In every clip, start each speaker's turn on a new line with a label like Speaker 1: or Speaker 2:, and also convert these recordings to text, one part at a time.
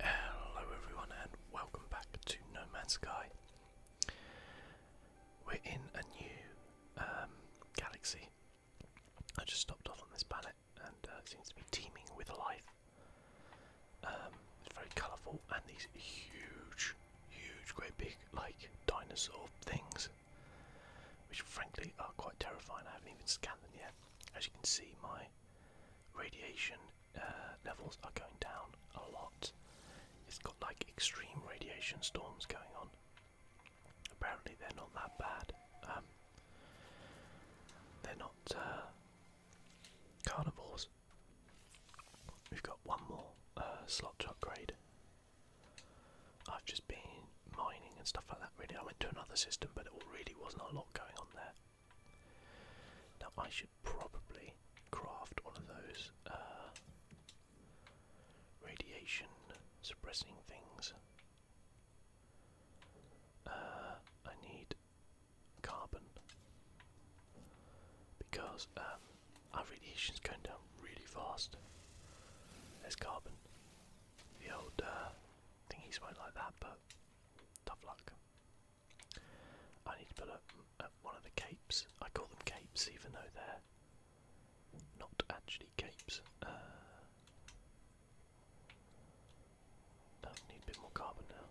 Speaker 1: Hello everyone and welcome back to Nomad Sky. We're in a new um, galaxy. I just stopped off on this planet and uh, it seems to be teeming with life. Um, it's very colourful and these huge, huge, great big like dinosaur things, which frankly are quite terrifying. I haven't even scanned them yet. As you can see, my radiation uh, levels are going down a lot. It's got like extreme radiation storms going on. Apparently they're not that bad. Um, they're not uh, carnivores. We've got one more uh, slot to upgrade. I've just been mining and stuff like that really. I went to another system but it really wasn't a lot going on there. Now I should probably craft one of those uh, radiation suppressing things. Uh, I need carbon because um, our radiation is going down really fast. There's carbon. The old uh, thingies won't like that, but Tough luck. I need to put up, uh, one of the capes. I call them capes even though they're not actually capes. Uh, need a bit more carbon now.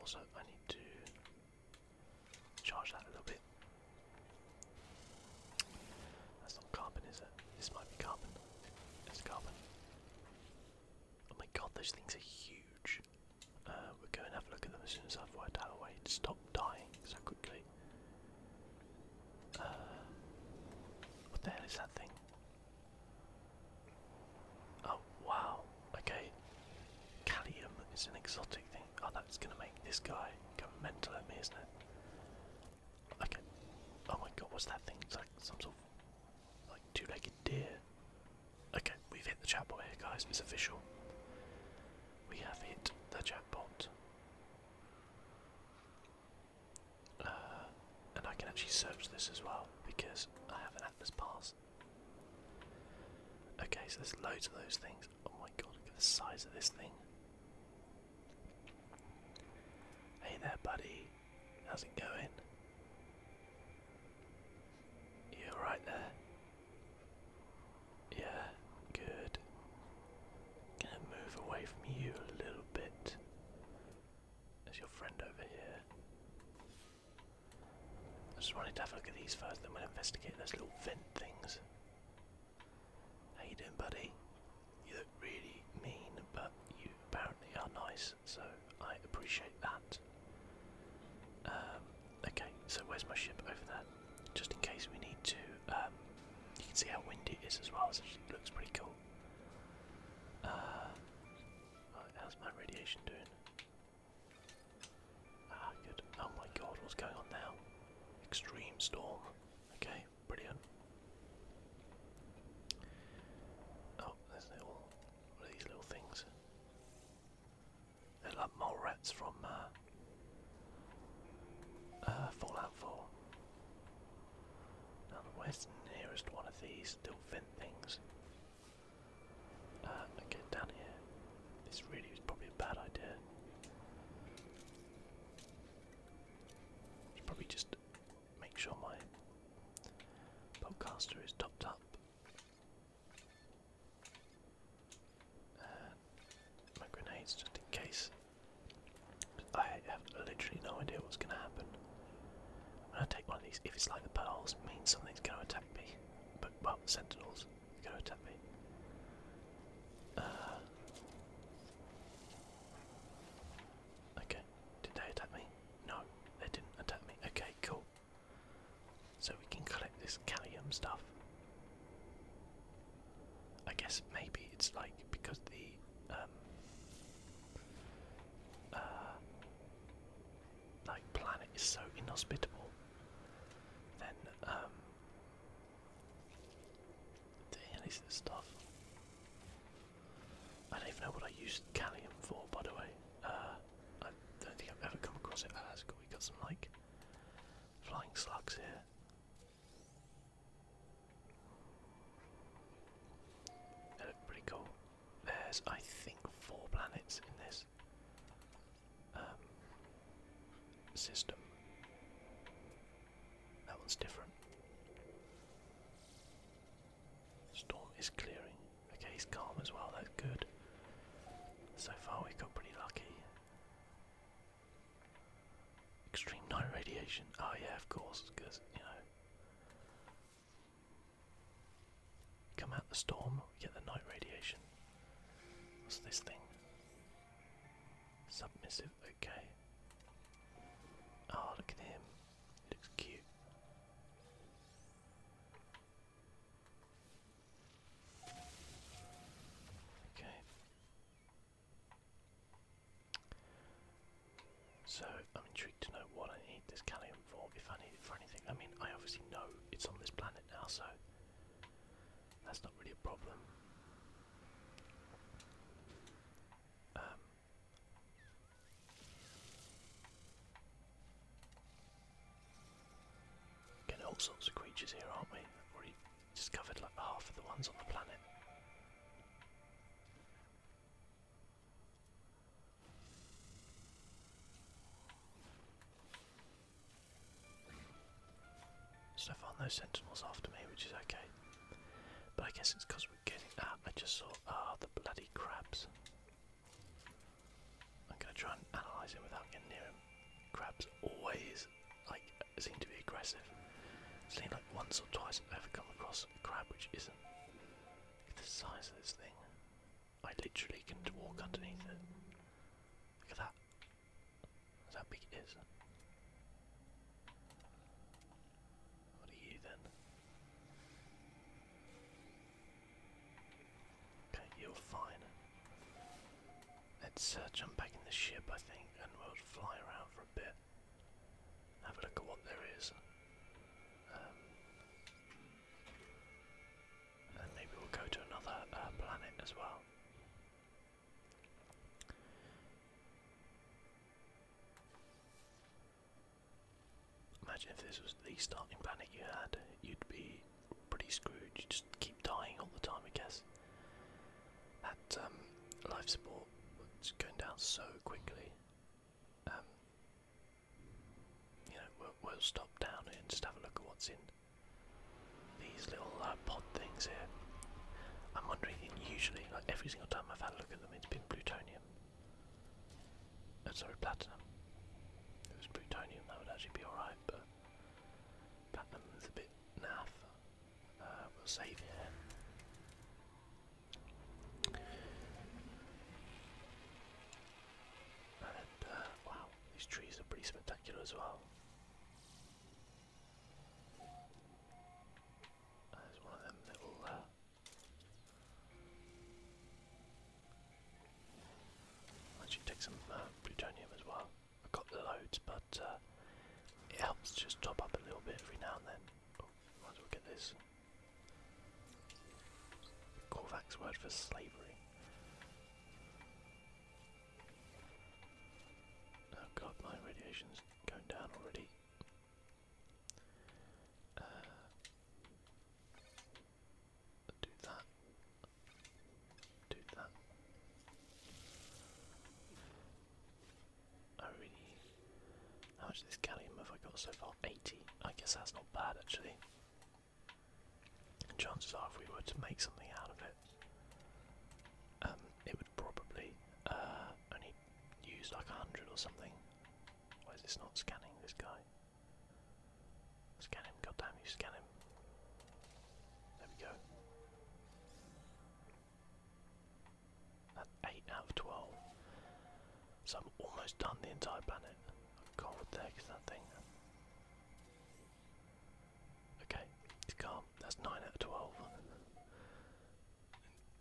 Speaker 1: Also, I need to charge that a little bit. That's not carbon, is it? This might be carbon. It's carbon. Oh my god, those things are huge. Uh, we are going to have a look at them as soon as I've worked out a way to stop dying so quickly. Uh, what the hell is that thing? Oh wow, okay. Callium is an exotic thing. Oh, that's gonna make this guy go mental at me, isn't it? Okay. Oh my god, what's that thing? It's like some sort of like two-legged deer. Okay, we've hit the jackpot here, guys. It's official. We have hit the jackpot. Uh, and I can actually search this as well because I have an Atlas Pass. Okay, so there's loads of those things. Oh my god, look at the size of this thing. Hey there, buddy. How's it going? You right there? Yeah, good. Gonna move away from you a little bit. There's your friend over here. I just wanted to have a look at these first, then we'll investigate those little vent things. How you doing, buddy? you look really mean, but you apparently are nice, so I appreciate that. Um, okay, so where's my ship? Over there. Just in case we need to. Um, you can see how windy it is as well, so it looks pretty cool. Uh, how's my radiation doing? Ah, good. Oh my god, what's going on now? Extreme storm. Okay brilliant. Oh, there's little, what are these little things? they mole rats from uh, uh, Fallout 4. Now, the nearest one of these little vent things? Uh, okay, down here. This really is probably a bad idea. Should probably just make sure my podcaster is topped up. my grenades just in case. I have literally no idea what's going to happen. When I take one of these, if it's like the pearls, means something's going to attack me. But, well, sentinels going to attack me. Uh, okay, did they attack me? No, they didn't attack me. Okay, cool. So we can collect this Callium stuff. I guess maybe it's like because the um, uh, like planet is so inhospitable then um the, yeah, is the stuff I don't even know what I used Callium for, by the way. Uh, I don't think I've ever come across it. Ah, cool. we got some like flying slugs here. They look pretty cool. There's, I think, four planets in this um, system. That one's different. Storm is clearing. Okay, he's calm as well, that's good. So far we've got pretty lucky. Extreme night radiation. Oh yeah, of course, because, you know. Come out the storm, we get the night radiation. What's this thing? Submissive, okay. Oh, look at him. Looks cute. Okay. So I'm intrigued to know what I need this Callium for, if I need it for anything. I mean, I obviously know it's on this planet now, so that's not really a problem. Um, Getting all sorts of creatures here, aren't we? We've already discovered like half of the ones on the planet. So far, no sentinels after me, which is okay. But I guess it's because getting at? I just saw ah the bloody crabs. I'm gonna try and analyse it without getting near him. Crabs always like seem to be aggressive. I've seen like once or twice I've ever come across a crab which isn't. Look at the size of this thing. I literally can walk underneath it. Look at that. That's how big it is. What are you then? Okay, you're fine. Let's uh, jump back in the ship, I think, and we'll fly around for a bit. Have a look at what there is. Um, and maybe we'll go to another uh, planet as well. Imagine if this was the starting planet you had, you'd be pretty screwed. You just keep dying all the time, I guess. That um, life support was going down so quickly. Um, you know, we'll, we'll stop down here and just have a look at what's in these little uh, pod things here. I'm wondering, usually, like every single time I've had a look at them, it's been plutonium titanium. Uh, sorry, platinum. it was plutonium, that would actually be alright, but platinum is a bit naff. Uh, we'll save here. And, uh, wow, these trees are pretty spectacular as well. Uh, There's one of them little I'll take some uh, plutonium as well. I've got loads, but uh, it helps to just top up a little bit every now and then. Oh, might get this. Corvax word for slavery. Oh god, my radiation's going down already do that. Do that. I really. How much this gallium have I got so far? 80. I guess that's not bad actually. chances are, if we were to make something out of it, um, it would probably uh, only Use like a hundred or something. Why is this not scanning this guy? Scan him, God damn you, scan him. There we go. That's 8 out of 12. So I'm almost done the entire planet. I there because that thing. Okay, it's calm. That's 9 out of 12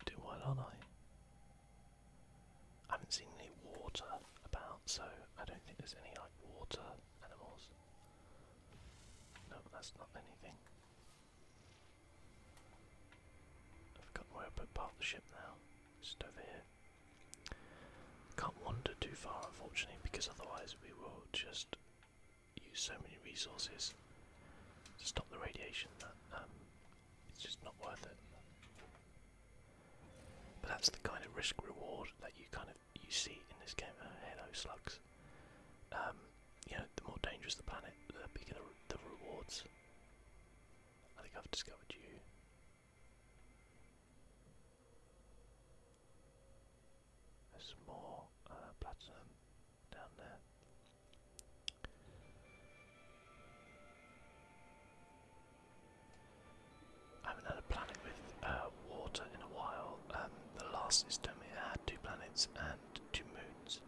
Speaker 1: do what are I? I haven't seen any water about, so I don't think there's any like water animals. No, that's not anything. I've forgotten where I put part of the ship now. Just over here. Can't wander too far, unfortunately, because otherwise we will just use so many resources to stop the radiation that um, it's just not worth it. But that's the kind of risk reward that you kind of you see in this game. Uh, hello, slugs. Um, you know, the more dangerous the planet, the bigger the, rewards. I think I've discovered you. There's more uh, platinum down there. I haven't had a planet with uh, water in a while. Um, the last system it had two planets and two moons,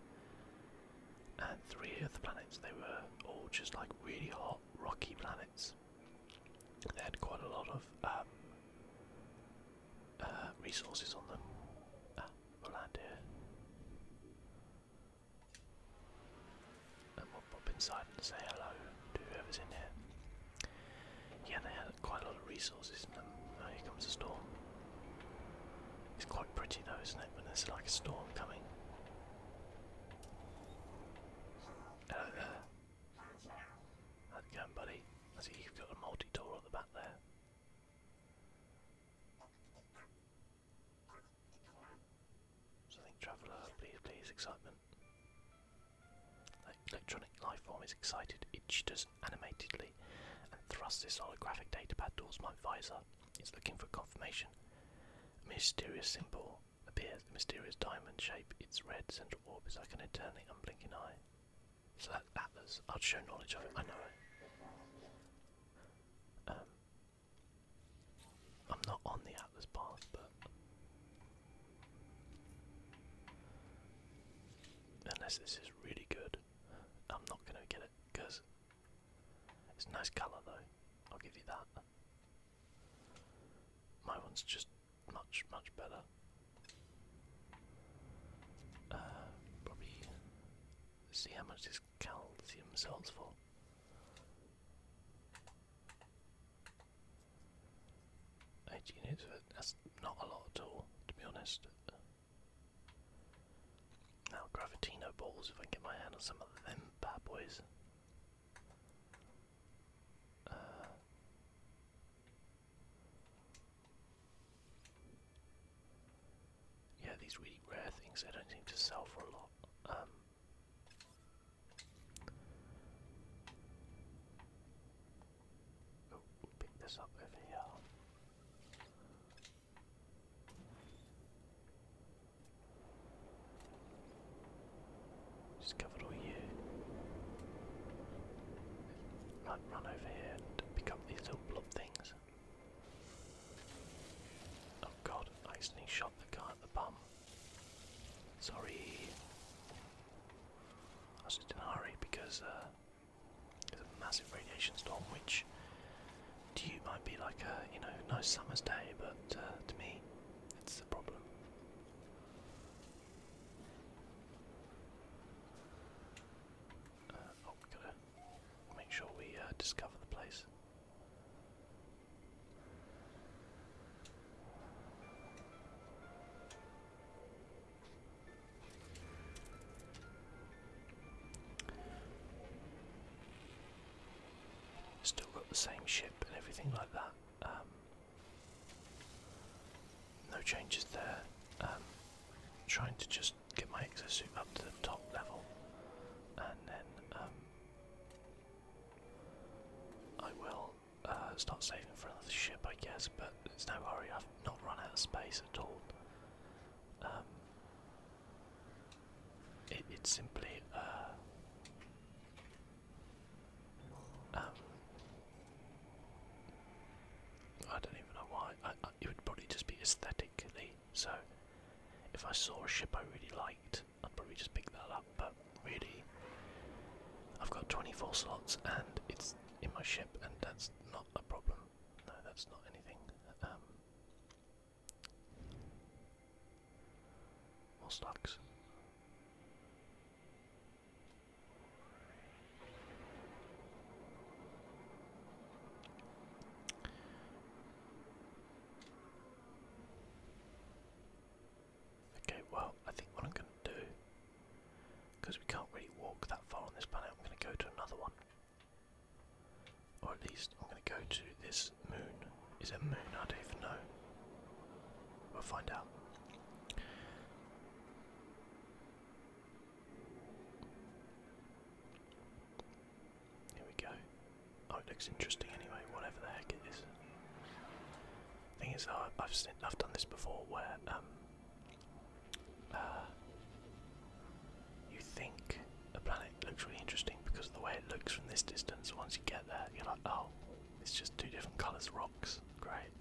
Speaker 1: and three of the planets they were all just like really hot, rocky planets. They had quite a lot of um, uh, resources on them. Uh, we'll land here. And we'll pop inside and say hello to whoever's in here. Yeah, they had quite a lot of resources Oh, here comes a storm. It's quite pretty though, isn't it, when there's like a storm coming. Hello there. How's it going, buddy? I see you've got a multi-tool at the back there. So I think Traveller, please, please, excitement. The electronic lifeform is excited, it jitters animatedly and thrusts its holographic data pad towards my visor. It's looking for confirmation. mysterious symbol appears, a mysterious diamond shape. Its red central orb is like an eternally unblinking eye. So that's Atlas. I'd show knowledge of it, I know it. Um, I'm not on the Atlas path, but unless this is really good, I'm not gonna get it because it's nice colour though. I'll give you that. My one's just much, much better. Uh, probably see how much this calcium salts for? Eight units, but that's not a lot at all, to be honest. Now, Gravitino balls, if I get my hand on some of them bad boys. Uh, yeah, these really rare things they don't seem to sell for a lot. Um, oh, pick this up over here. Just covered all you. Right, run over here and pick up these little blob things. Oh god, I accidentally shot the guy at the bum. Sorry. I was just in a hurry because uh, there's a massive radiation storm which to you might be like a, you know, nice summer's day, but uh, to me it's the problem. Uh, oh, got make sure we uh, discover the place. Still got the same ship and everything like that. Um, no changes there. Um, trying to just get my exosuit up to the top level, and then um, I will uh, start saving for another ship, I guess. But it's no worry. I've not run out of space at all. Um, it's simply. Uh, um, I don't even know why. it would probably just be aesthetically so if I saw a ship I really liked, I'd probably just pick that up. But really, I've got 24 slots and it's in my ship, and that's not a problem. No, that's not anything. Um, more stocks. Okay, well, I think what I'm going to do, because we can't really walk that far on this planet, I'm going to go to another one. Or at least I'm going to go to this moon. Is it a moon? I don't even know. We'll find out. Here we go. Oh, it looks interesting anyway, whatever the heck it is. Thing is, I've seen, I've done this before where um, uh, you think the planet looks really interesting because of the way it looks from this distance. Once you get there, you're like, oh, it's just two different colours rocks. Great.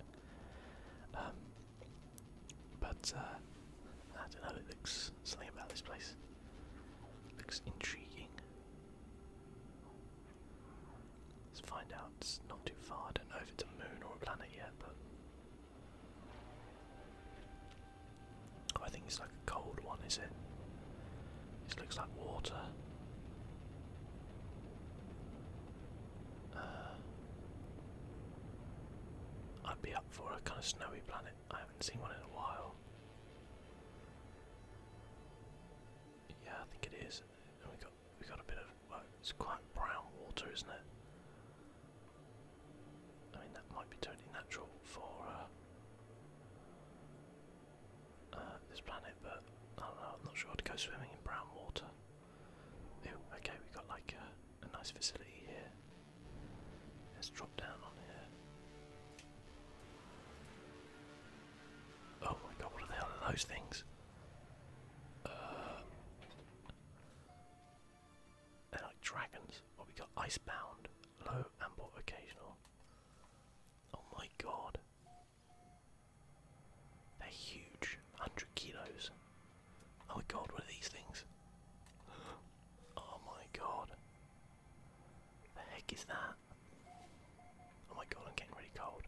Speaker 1: Um, but uh, I don't know. It looks something about this place looks intriguing. Let's find out. It's not too far. I don't know if it's a moon or a planet yet, but I think it's like a cold one. Is it? This looks like water. Uh, I'd be up for a kind of snowy planet. I haven't seen one in a while. Yeah, I think it is. we got we got a bit of it's quite brown water, isn't it? I mean that might be totally natural for uh, uh, this planet, but I am not sure I'd go swimming in brown water. Ew, okay, we got like uh, a nice facility here. Let's drop down on here. Oh my god, what are those things? Uh, they're like dragons. Well, oh, we got icebound, low, ample, occasional. Oh my god. They're huge, 100 kilos. Oh my god, what are these things? Oh my god. The heck is that? Oh my god, I'm getting really cold.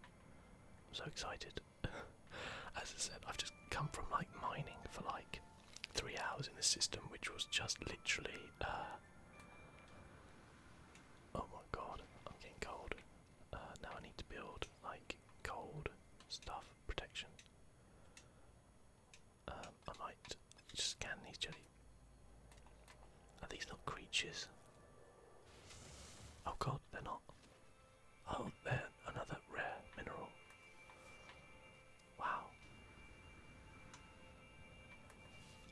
Speaker 1: I'm so excited. As I said, I've just come from like mining for like three hours in the system, which was just literally. Uh, oh my god, I'm getting cold. Uh, now I need to build like cold stuff protection. Um, I might scan these Are these not creatures? Oh god, they're not. Oh, they're another rare mineral. Wow.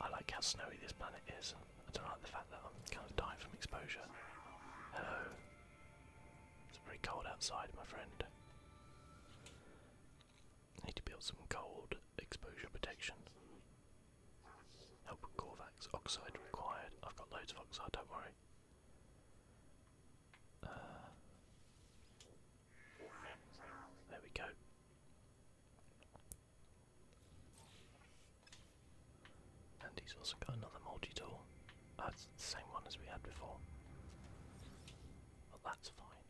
Speaker 1: I like how snowy this planet is. I don't like the fact that I'm kind of dying from exposure. Hello. It's very cold outside, my friend. I need to build some cold exposure protection. Help with Corvax. Oxide required. I've got loads of oxide, don't worry. Uh, there we go. And he's also got another multi tool. Oh, the same one as we had before. Well, that's fine.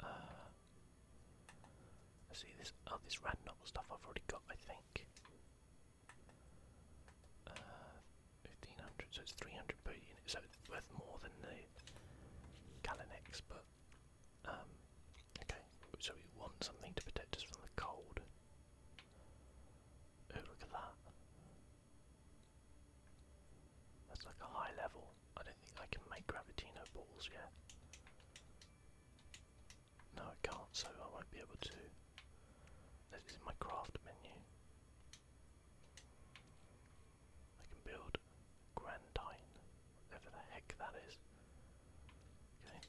Speaker 1: Uh, I see this. Oh, this random stuff I've already got, I think. 1500, uh, so it's 300 per unit, so it's worth more than the Galinex, but. Um, okay, so we want something to protect us from the cold. Oh, look at that. That's like a high level. I don't think I can make Gravitino balls yet. No, I can't, so I won't be able to. This is my craft menu. I can build Grandine, whatever the heck that is. Okay,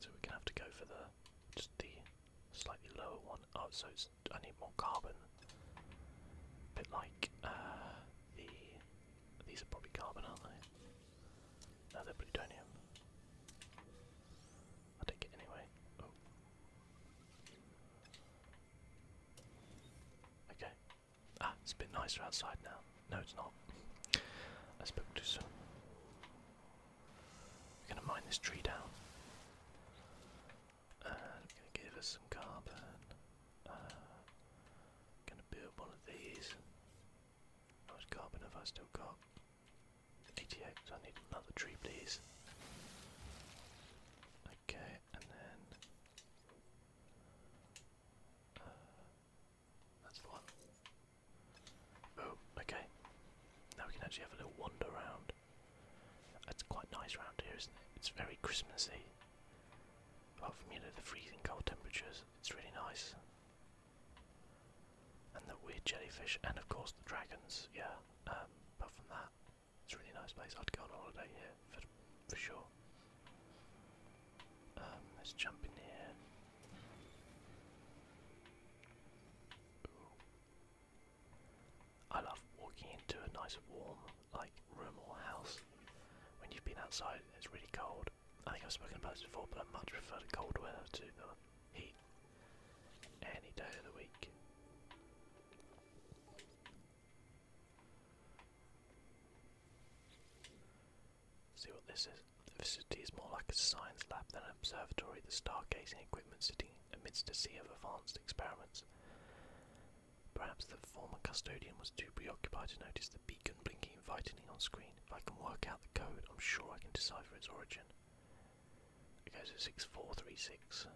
Speaker 1: so we're gonna have to go for the just the slightly lower one. Oh, so I need more carbon. bit like uh, the these are probably carbon, aren't they? No, they're plutonium. i take it anyway. Oh. Okay. Ah, it's a bit nicer outside now. No, it's not. I spoke too soon. We're gonna mine this tree down. we're gonna give us some carbon. Uh, gonna build one of these. How much carbon have I still got? 88, so I need another tree please. Okay, and then... Uh, that's the Oh, okay. Now we can actually have a little wander around. That's quite nice round here, It's very Christmassy. Apart from, you know, the freezing cold temperatures, it's really nice. And the weird jellyfish, and of course the dragons, yeah. Um, apart from that, it's a really nice place. I'd go on holiday here, for, for sure. Um, let's jump in here. I love walking into a nice warm like room or house when you've been outside it's really cold. I think I've spoken about this before, but I much prefer the cold weather to the heat any day of the week. See what this is. The facility is more like a science lab than an observatory, the stargazing equipment sitting amidst a sea of advanced experiments. Perhaps the former custodian was too preoccupied to notice the beacon blinking invitingly on screen. If I can work out the code, I'm sure I can decipher its origin. It goes at 6436.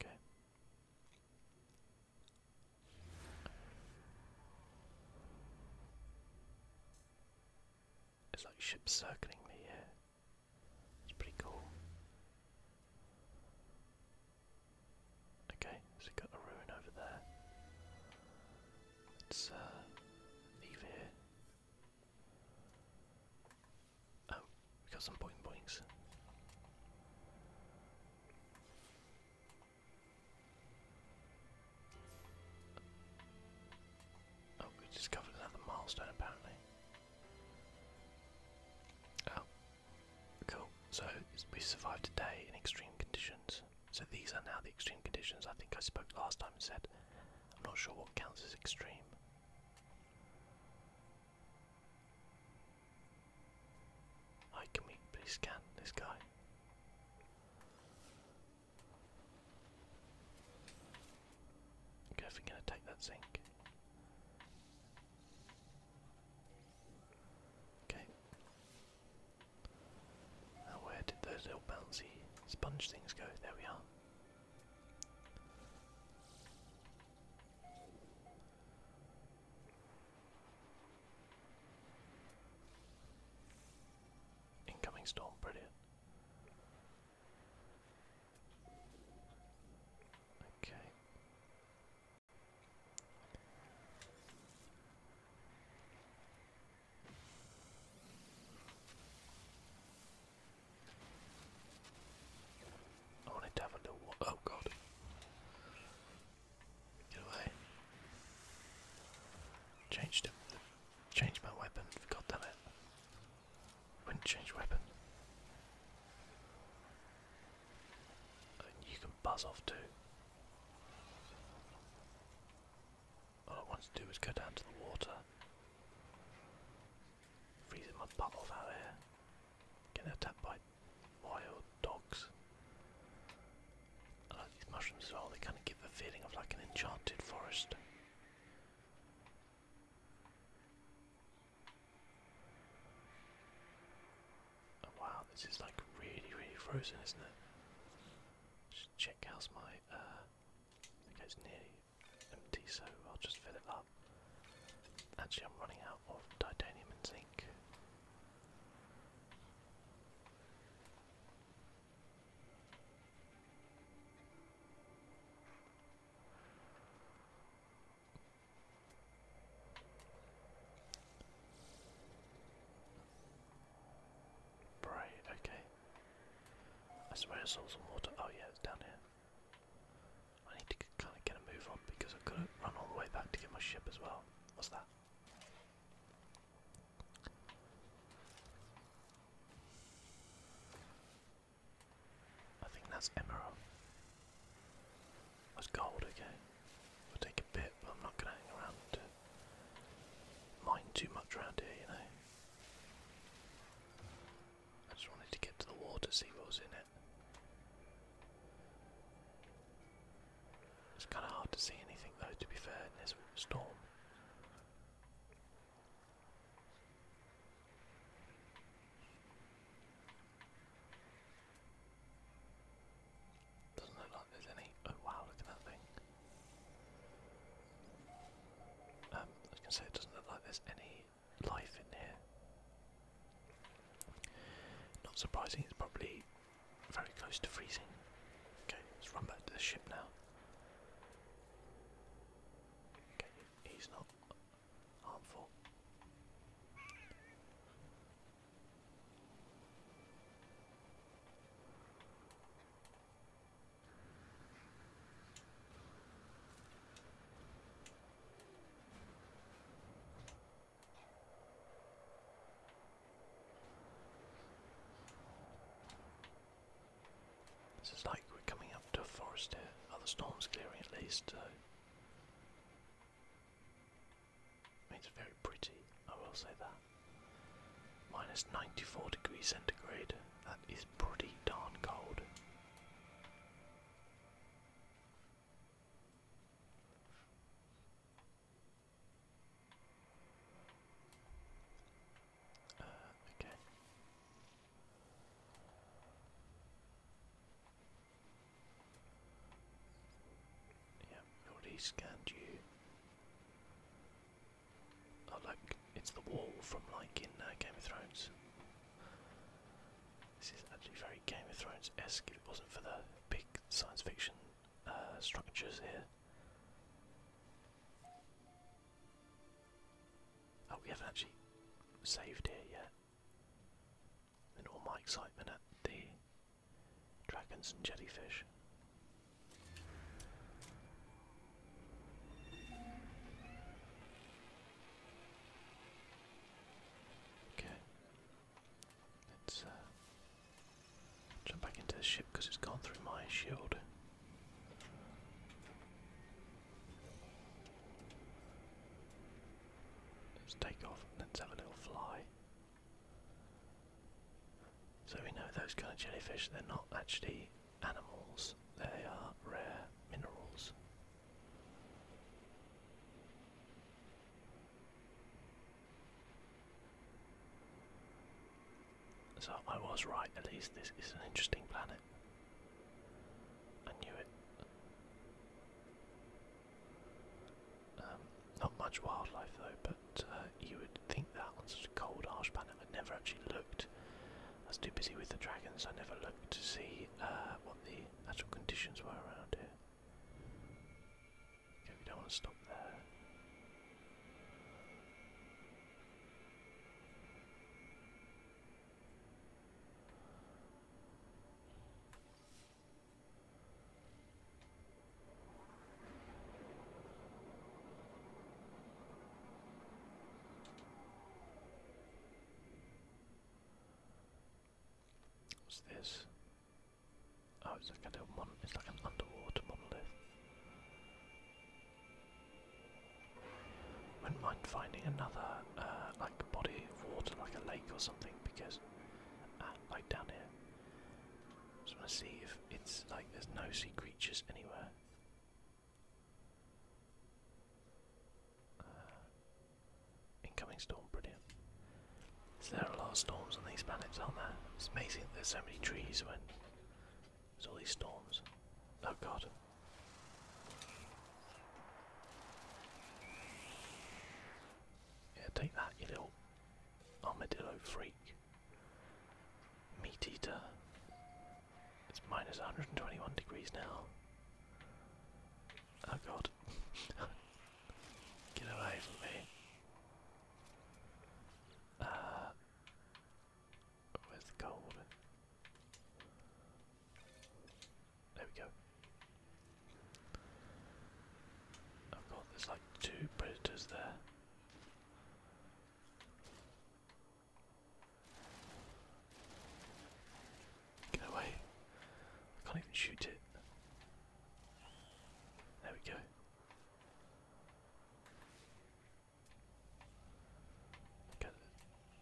Speaker 1: Okay. It's like ships circling me here. It's pretty cool. Okay, so we got a ruin over there. Let's leave uh, here. Oh, we got some boing boings. Oh, we discovered another milestone apparently. Oh, cool. So we survived today in extreme conditions. So these are now the extreme conditions. I think I spoke last time and said I'm not sure what counts as extreme. Hi, can we please scan this guy? Okay, if we're gonna take that zinc. Okay. Now where did those little bouncy sponge things go? There we are. Incoming storm, brilliant. Okay. I wanted to have a little. Oh god. Get away. Changed him. Change my weapon, god damn it. Wouldn't change weapon. you can buzz off too. All I wanted to do was go down to the water. Freezing my butt off out here. Getting attacked by wild dogs. I like these mushrooms as well, they kind of give the feeling of like an enchanted forest. wow, this is like really, really frozen, isn't it? check how's my, uh, okay nearly empty so I'll just fill it up. Actually I'm running out of titanium and zinc. Right, okay. I swear I saw some water. Oh yeah, it's down here. I need to kind of get a move on because I've got run all the way back to get my ship as well. What's that? I think that's emerald. That's gold, again. I'll take a bit, but I'm not gonna hang around mine too much around here, you know. I just wanted to get to the water, see what was in it. It's kind of hard to see anything though, to be fair, in this storm. Doesn't look like there's any. Oh wow, look at that thing. Um, I was going it doesn't look like there's any life in here. Not surprising, it's probably very close to freezing. Okay, let's run back to the ship now. Okay, he's not harmful. This is like we're coming up to a forest here. Oh, storm's clearing at least, so. I very pretty, I will say that. Minus 94 degrees centigrade. That is pretty darn cold. Uh, okay. Yeah, already scanned you. Oh look, it's the wall from like in uh, Game of Thrones. This is actually very Game of Thrones-esque if it wasn't for the big science fiction uh, structures here. Oh, we haven't actually saved here yet. In all my excitement at the dragons and jellyfish. Okay. Let's uh, jump back into the ship because it's gone through my shield. Let's take off. Let's have a little fly. So we know those kind of jellyfish, they're not actually animals, they are rare minerals. So I was right, at least this is an interesting planet. I knew it. Um, not much wildlife though, but uh, you would think that on such a cold, harsh planet. I never actually looked. I was too busy with the dragons, I never looked to see uh, what the actual conditions were around here we don't want to stop there. What's this? Oh, it's like a little mon it's like an underwater monolith. Wouldn't mind finding another uh, like body of water, like a lake or something, because uh, like down here. Just want to see if it's like there's no sea creatures anywhere. Uh, incoming storm, brilliant there are a lot of storms on these planets, aren't there? It's amazing there's so many trees when there's all these storms. Oh god. Yeah, take that, you little armadillo freak. Meat eater. It's minus 121 degrees now. Oh god. Get away from me. Uh, where's gold? There we go. I've got there's like two predators there. Get away. I can't even shoot it. There we go. Okay,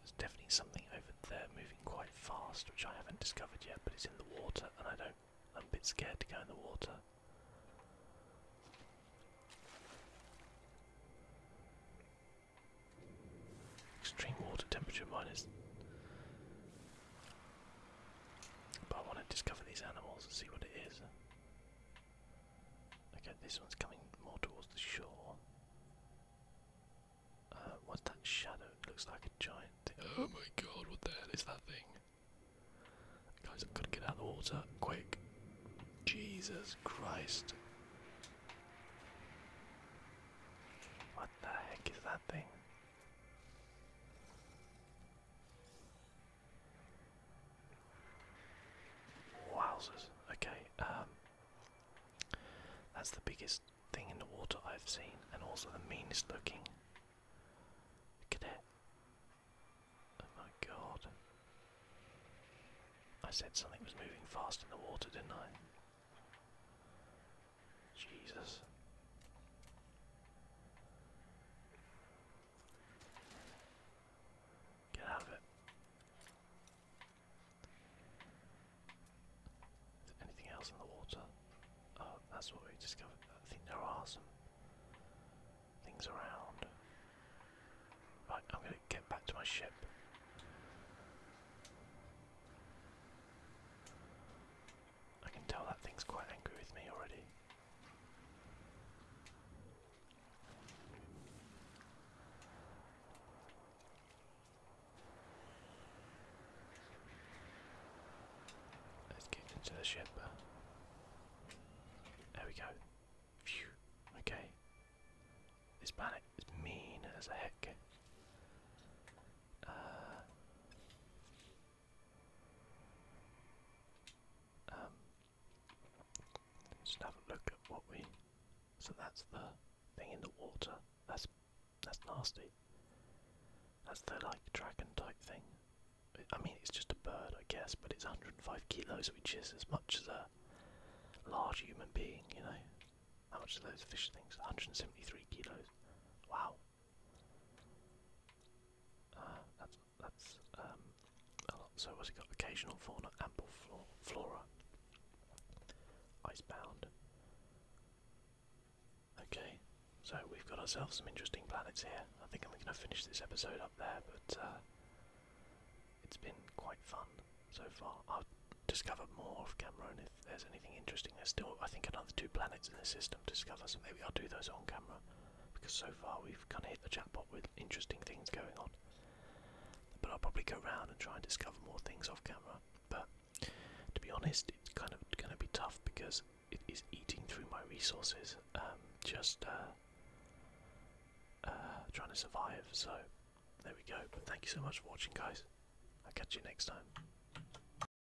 Speaker 1: there's definitely something over there moving quite fast, which I haven't discovered yet, but it's in the water, and I don't. I'm a bit scared to go in the water. Extreme water temperature minus but I want to discover these animals and see what it is. Okay, this one's coming more towards the shore. Uh, that shadow? looks like a giant Oh my god, what the hell is that thing? Guys, I've got to get out of the water, quick. Jesus Christ. What the heck is that thing? Wowzers. Okay, um, that's the biggest thing in the water I've seen, and also the meanest looking. Look at it. Oh my god. I said something was moving fast in the water, didn't I? Jesus. Get out of it. Is there anything else in the water? Oh, that's what we discovered. I think there are some things around. Right, I'm gonna get back to my ship. I can tell that thing's quite angry with me already. Let's get into the ship. There we go. Phew. Okay. This planet is mean as heck. Uh, um, just have a look at what we. So that's the thing in the water. That's that's nasty. That's the like dragon type thing. I mean, it's just a bird, I guess, but it's 105 kilos, which is as much as a large human being. You know, how much are those fish things? 173 kilos. Wow. Uh, that's that's um, So what's it got? Occasional fauna, ample flora, flora. Icebound. Okay, so we've got ourselves some interesting planets here. I think I'm going to finish this episode up there, but uh, it's been quite fun so far. I'll discover more of Cameron if there's anything interesting. There's still, I think, another two planets in the system discover. So maybe I'll do those on camera because so far we've kind of hit the chatbot with interesting things going on. But I'll probably go round and try and discover more things off camera. But to be honest, it's kind of going to be tough because it is eating through my resources. Um, just uh, uh, trying to survive. So there we go. But thank you so much for watching, guys. I'll catch you next time.